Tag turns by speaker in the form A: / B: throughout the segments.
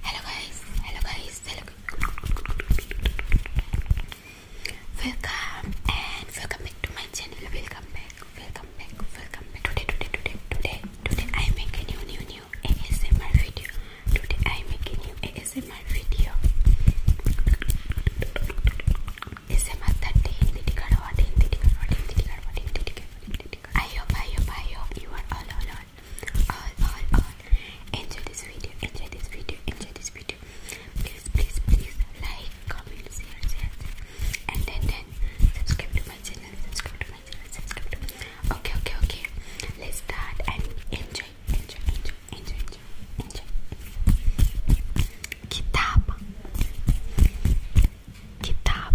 A: Hello guys, hello guys, hello Welcome and welcome back to my channel. Welcome back, welcome back, welcome back. Today, today, today, today, today I make a new, new, new ASMR video. Today I make a new ASMR video. ASMR 13, I hope, I hope, I hope you are all, all, on, on, on, Enjoy this video, enjoy this video, enjoy this video. Please, please, please like, comment, share, share, and then then subscribe to my channel, subscribe to my channel, subscribe to. My... Okay, okay, okay. Let's start and enjoy, enjoy, enjoy, enjoy, enjoy, enjoy. Kitab, kitab.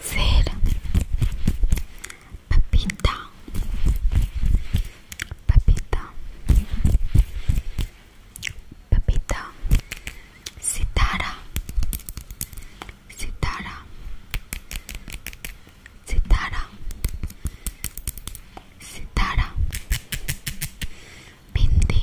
A: ser papita, papita, papita, citara, citara, citara, citara, bindi,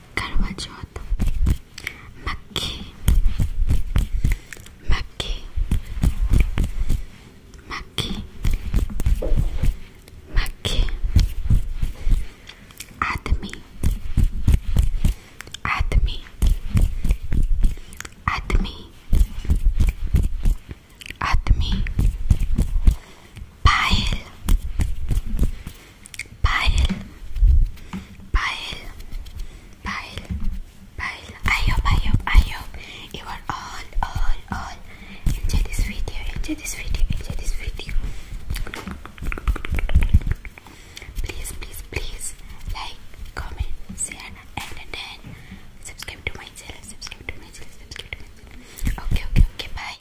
A: Carvajota, McKay, McKay, McKay, McKay, Admi, Admi, Admi, Admi, Pael. Pile, pile, pile, pile. I hope, I hope, I hope you are all, all, all enjoy this video, enjoy this video, enjoy this video. Please, please, please like, comment, share, and then subscribe to my channel. Subscribe to my channel. Subscribe to my channel. Okay, okay, okay. Bye.